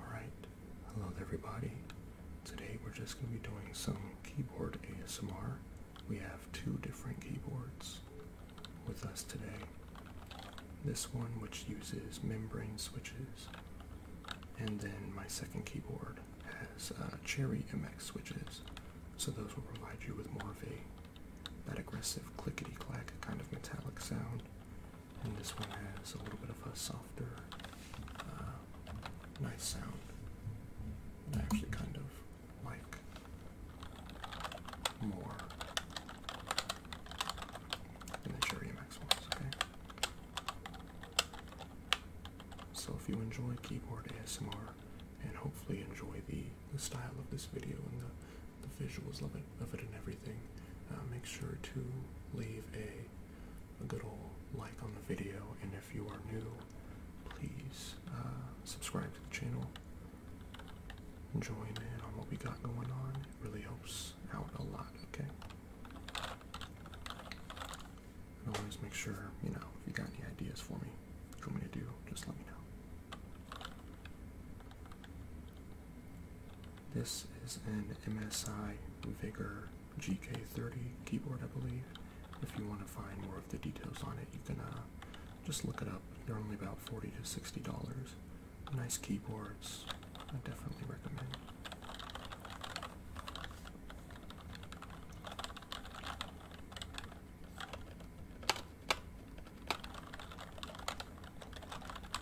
Alright, hello everybody. Today we're just going to be doing some keyboard ASMR. We have two different keyboards with us today. This one which uses membrane switches, and then my second keyboard has uh, Cherry MX switches, so those will provide you with more of a that aggressive clickety clack kind of metallic sound and this one has a little bit of a softer, uh, nice sound. I actually kind of like more than the Cherry MX ones, okay? So if you enjoy keyboard ASMR and hopefully enjoy the, the style of this video and the the visuals of it, of it and everything, uh, make sure to leave a, a good old like on the video. And if you are new, please uh, subscribe to the channel. Join in on what we got going on. It really helps out a lot, okay? always make sure, you know, if you got any ideas for me, what me to do, just let me know. This is an MSI Vigor GK30 keyboard, I believe. If you want to find more of the details on it, you can uh, just look it up. They're only about 40 to $60. Nice keyboards. I definitely recommend.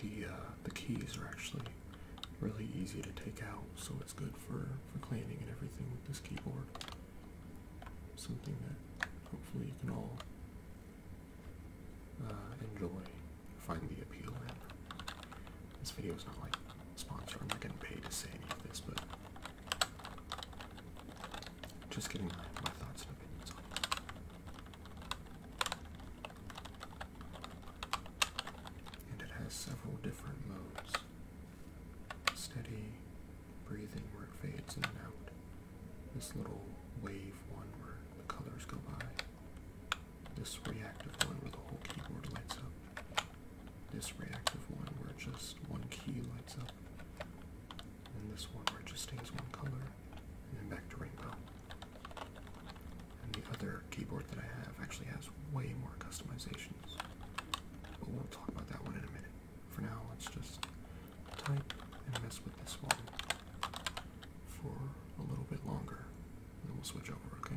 the uh, the keys are actually really easy to take out, so it's good for for cleaning and everything with this keyboard. Something that hopefully you can all uh, enjoy, find the appeal in. This video is not like sponsored. I'm not getting paid to say any of this, but just getting my, thoughts and opinions on And it has several different modes steady, breathing, where it fades in and out. This little wave one where the colors go by. This reactive one where the whole keyboard lights up. This reactive one where just one key lights up and this one where it just stays one color, and then back to rainbow. And the other keyboard that I have actually has way more customizations, but we'll talk about that one in a minute. For now, let's just type and mess with this one for a little bit longer, and then we'll switch over, okay?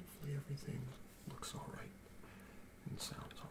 Hopefully everything looks alright and sounds alright.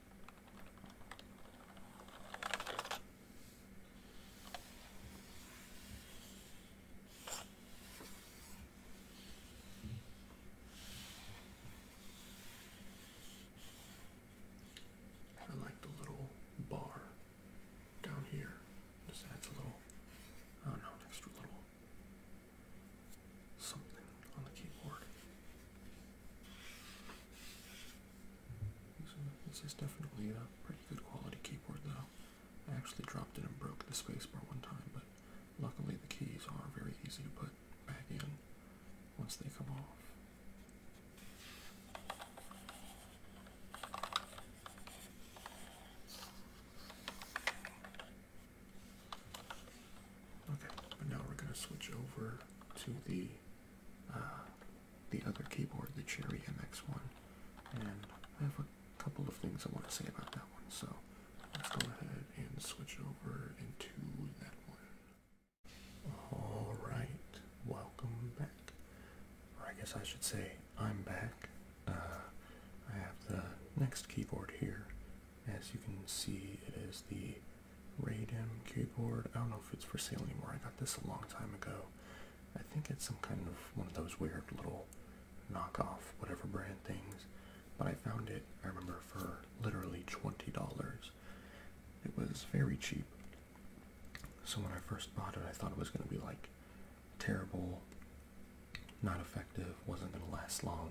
I like the little bar down here. Just adds a little, I do an extra little something on the keyboard. this is definitely a pretty good quality keyboard though. I actually dropped it and broke the spacebar one time, but luckily the keys are very easy to put back in once they come off. Okay, but now we're going to switch over to the uh, the other keyboard, the Cherry MX1, and I have a couple of things I want to say about that one. So let's go ahead and switch over into that one. All right, welcome back. Or I guess I should say I'm back. Uh, I have the next keyboard here. As you can see, it is the Radium keyboard. I don't know if it's for sale anymore. I got this a long time ago. I think it's some kind of one of those weird little knockoff, whatever brand things. But I found it, I remember, for literally $20. It was very cheap. So when I first bought it, I thought it was going to be like terrible, not effective, wasn't going to last long,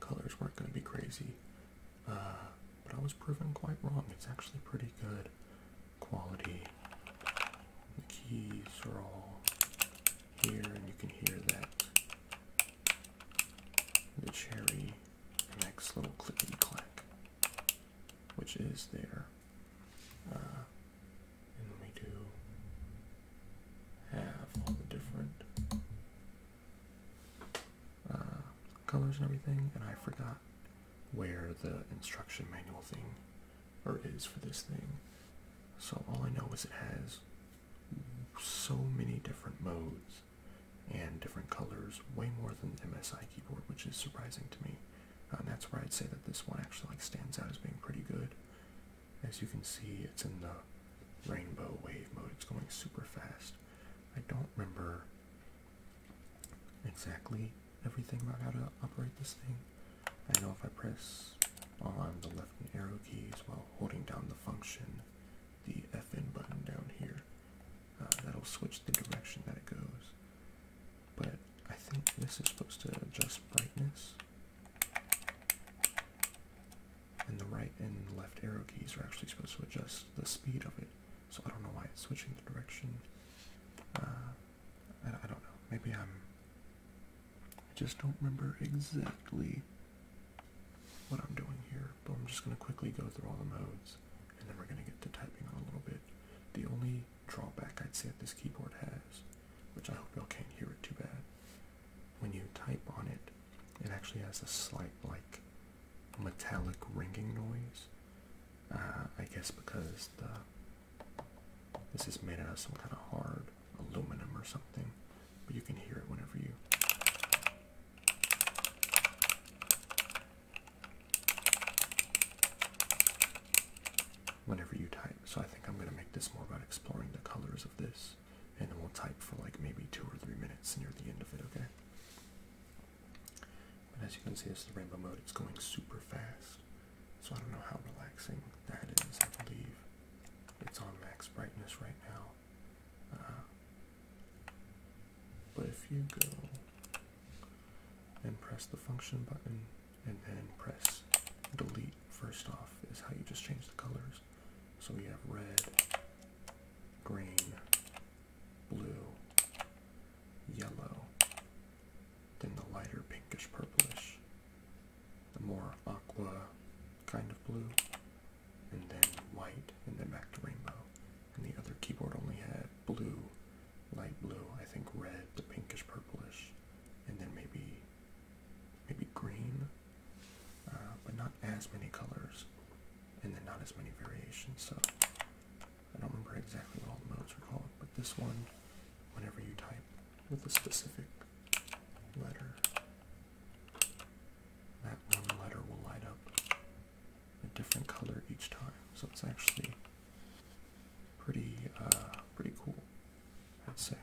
colors weren't going to be crazy but I was proven quite wrong. It's actually pretty good quality. The keys are all here, and you can hear that the cherry next little clickety clack, which is there. Uh, and we do have all the different uh, colors and everything, and I forgot where the instruction manual thing or is for this thing. So all I know is it has so many different modes and different colors, way more than the MSI keyboard, which is surprising to me. Uh, and that's where I'd say that this one actually like stands out as being pretty good. As you can see, it's in the rainbow wave mode. It's going super fast. I don't remember exactly everything about how to operate this thing. I know if I press on the left arrow keys while holding down the function, the FN button down here, uh, that'll switch the direction that it goes. But I think this is supposed to adjust brightness and the right and left arrow keys are actually supposed to adjust the speed of it. So I don't know why it's switching the direction. Uh, I, I don't know. Maybe I'm... I just don't remember exactly what I'm doing here, but I'm just going to quickly go through all the modes, and then we're going to get to typing on a little bit. The only drawback I'd say that this keyboard has, which I hope y'all can't hear it too bad, when you type on it, it actually has a slight, like, metallic ringing noise. Uh, I guess because the this is made out of some kind of hard aluminum or something, but you can hear it whenever you. Whenever you type, so I think I'm going to make this more about exploring the colors of this, and then we'll type for like maybe two or three minutes near the end of it, okay? But as you can see, this is the rainbow mode. It's going super fast. So I don't know how relaxing that is, I believe. It's on max brightness right now. Uh, but if you go and press the function button and then press delete first off is how you just change the colors. So we have red, green, blue, yellow, then the lighter pinkish purplish, the more aqua kind of blue, and then white, and then back to rainbow. And the other keyboard only had blue, light blue, I think red, to pinkish purplish, and then maybe maybe green, uh, but not as many colors and then not as many variations. So I don't remember exactly what all the modes are called, but this one, whenever you type with a specific letter, that one letter will light up a different color each time. So it's actually pretty, uh, pretty cool, Let's say.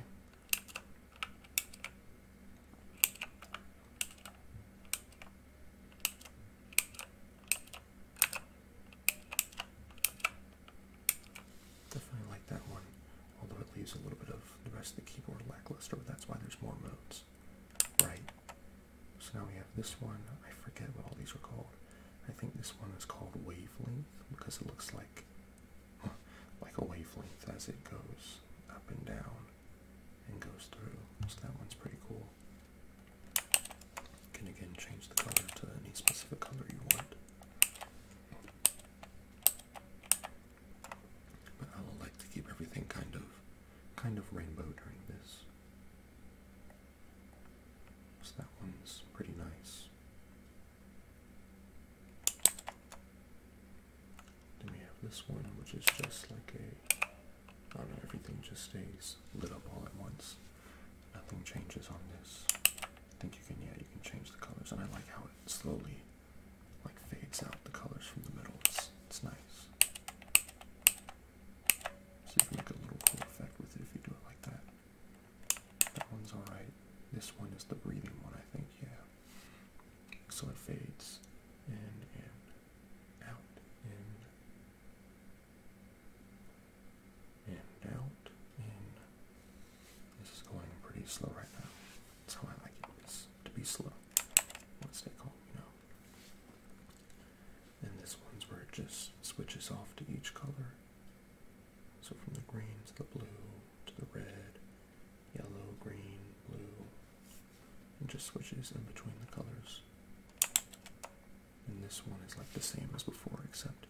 Definitely like that one, although it leaves a little bit of the rest of the keyboard lackluster, but that's why there's more modes. Right. So now we have this one. I forget what all these are called. I think this one is called wavelength because it looks like like a wavelength as it goes up and down and goes through. So that one's pretty cool. You can again change the color to any specific color you want. But I like to keep everything kind of kind of rainbow during this. So that one's pretty nice. Then we have this one, which is just like a everything just stays lit up all at once. Nothing changes on this. I think you can, yeah, you can change the colors, and I like how it slowly, like, fades out the colors from the middle. It's, it's nice. So you can make a little cool effect with it if you do it like that. That one's alright. This one is the breathing one, I think, yeah. So it fades in and out in and out in this is going pretty slow right now that's how I like it it's to be slow once they call you know and this one's where it just switches off to each color so from the green to the blue to the red yellow green blue it just switches in between the colors. And this one is like the same as before, except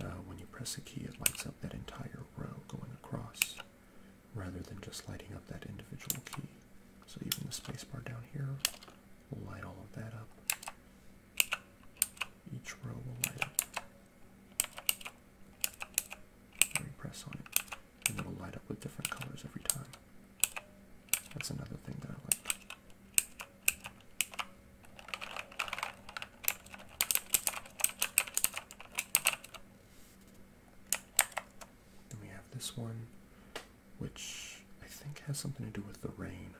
uh, when you press a key, it lights up that entire row going across rather than just lighting up that individual key. So even the spacebar down here will light all of that up. Each row will light up. Let me press on it and it'll light up with different colors every time. That's another thing that I like. Then we have this one, which I think has something to do with the rain,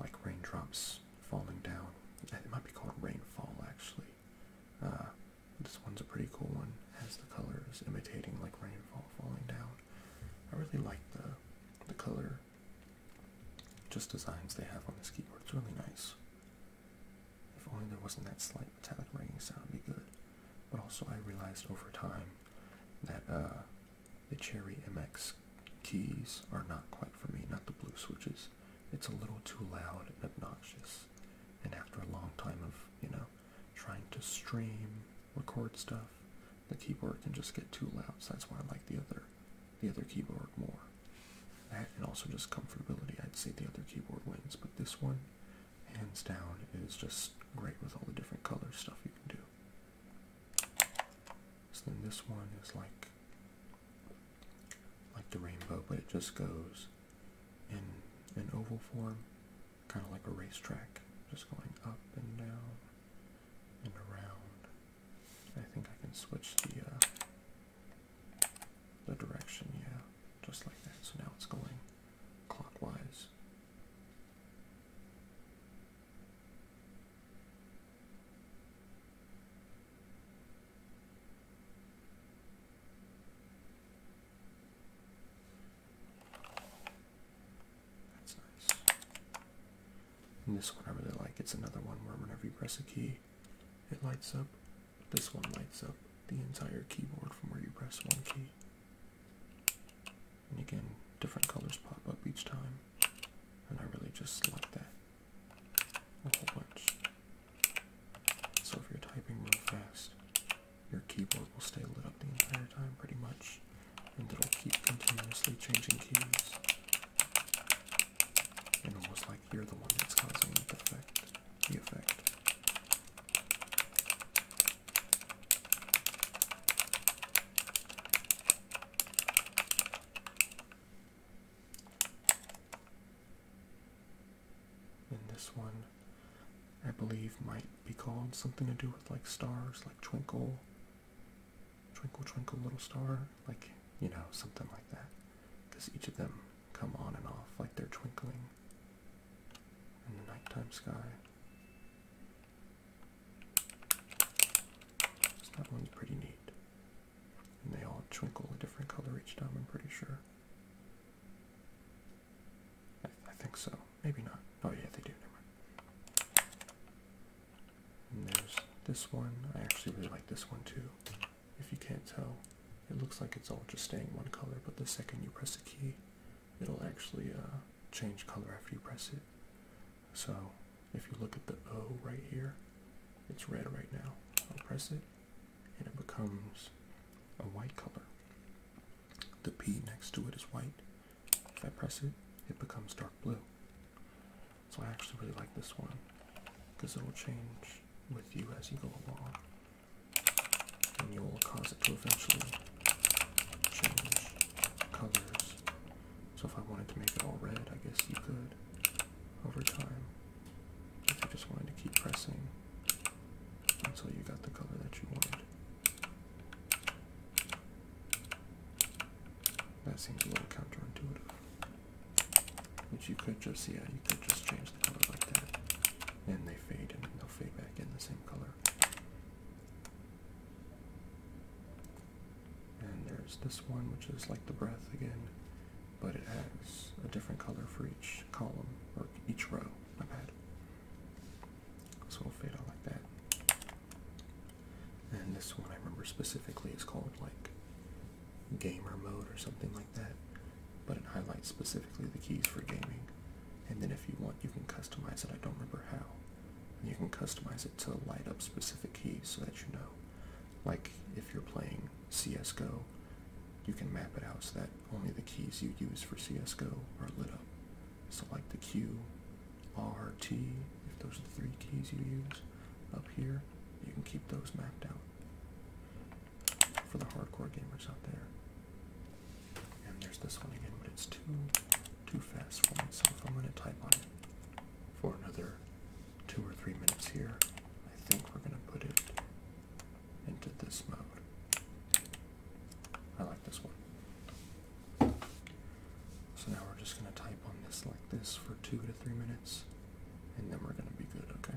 like raindrops falling down. It might be called rainfall, actually. Uh, this one's a pretty cool one has the colors imitating like rainfall falling down. I really like the the color just designs they have on this keyboard. It's really nice. If only there wasn't that slight metallic ringing sound be good. But also I realized over time that uh, the Cherry MX keys are not quite for me, not the blue switches. It's a little too loud and obnoxious. And after a long time of, you know, trying to stream record stuff, the keyboard can just get too loud. So that's why I like the other, the other keyboard more. and also just comfortability. I'd say the other keyboard wins, but this one, hands down, is just great with all the different color stuff you can do. So then this one is like, like the rainbow, but it just goes in an oval form kind of like a racetrack, just going up and down and around. I think I can switch the uh, the direction, yeah, just like that. So now it's going clockwise. That's nice. this one I really like. It's another one where whenever you press a key, it lights up. This one lights up the entire keyboard from where you press one key. And again, different colors pop up each time. And I really just like that a whole bunch. So if you're typing real fast, your keyboard will stay lit up the entire time pretty much and it'll keep continuously changing keys and almost like you're the one that's causing the effect the effect and this one I believe might be called something to do with like stars, like twinkle, twinkle, twinkle, little star, like you know, something like that. Because each of them come on and off like they're twinkling in the nighttime sky. that one's pretty neat. And they all twinkle a different color each time, I'm pretty sure. I, think so. Maybe not. Oh yeah, they do. Never there's this one. I actually really like this one too. If you can't tell, it looks like it's all just staying one color, but the second you press a key, it'll actually uh, change color after you press it. So if you look at the O right here, it's red right now. I'll press it, and it becomes a white color. The P next to it is white, if I press it, it becomes dark blue. So I actually really like this one because it'll change with you as you go along and you'll cause it to eventually change colors. So if I wanted to make it all red, I guess you could over time. If you just wanted to keep pressing until you got the color that you wanted. That seems a little counterintuitive. Which you could just, yeah, you could just change the color like that. And they fade and they'll fade back in the same color. And there's this one, which is like the breath again, but it has a different color for each column, or each row, my bad. So it'll fit out like that. And this one I remember specifically is called like gamer mode or something like that. But it highlights specifically the keys for gaming. And then if you want, you can customize it. I don't remember how. you can customize it to light up specific keys so that you know. Like if you're playing CSGO, you can map it out so that only the keys you use for CSGO are lit up select the Q, R, T, if those are the three keys you use up here, you can keep those mapped out for the hardcore gamers out there. And there's this one again, but it's too, too fast for me. myself. I'm going to type on it for another two or three minutes here. I think we're going to put it into this mode. I like this one. So now we're just going to type on this like this for two to three minutes, and then we're going to be good, okay?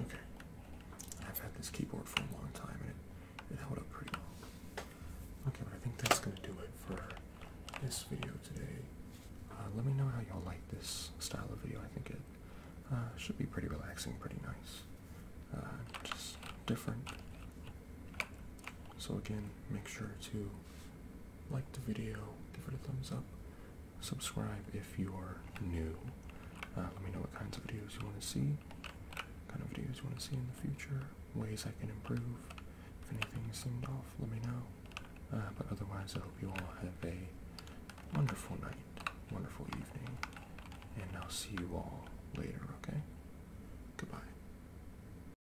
Okay. I've had this keyboard for a long time and it, held up pretty well. Okay, but I think that's going to do it for this video today. Uh, let me know how y'all like this style of video. I think it uh, should be pretty relaxing, pretty nice. Uh, just different. So again, make sure to like the video, give it a thumbs up, subscribe if you are new. Uh, let me know what kinds of videos you want to see, kind of videos you want to see in the future, ways I can improve. If anything seemed off, let me know. Uh, but otherwise, I hope you all have a wonderful night, wonderful evening, and I'll see you all later, okay? Goodbye.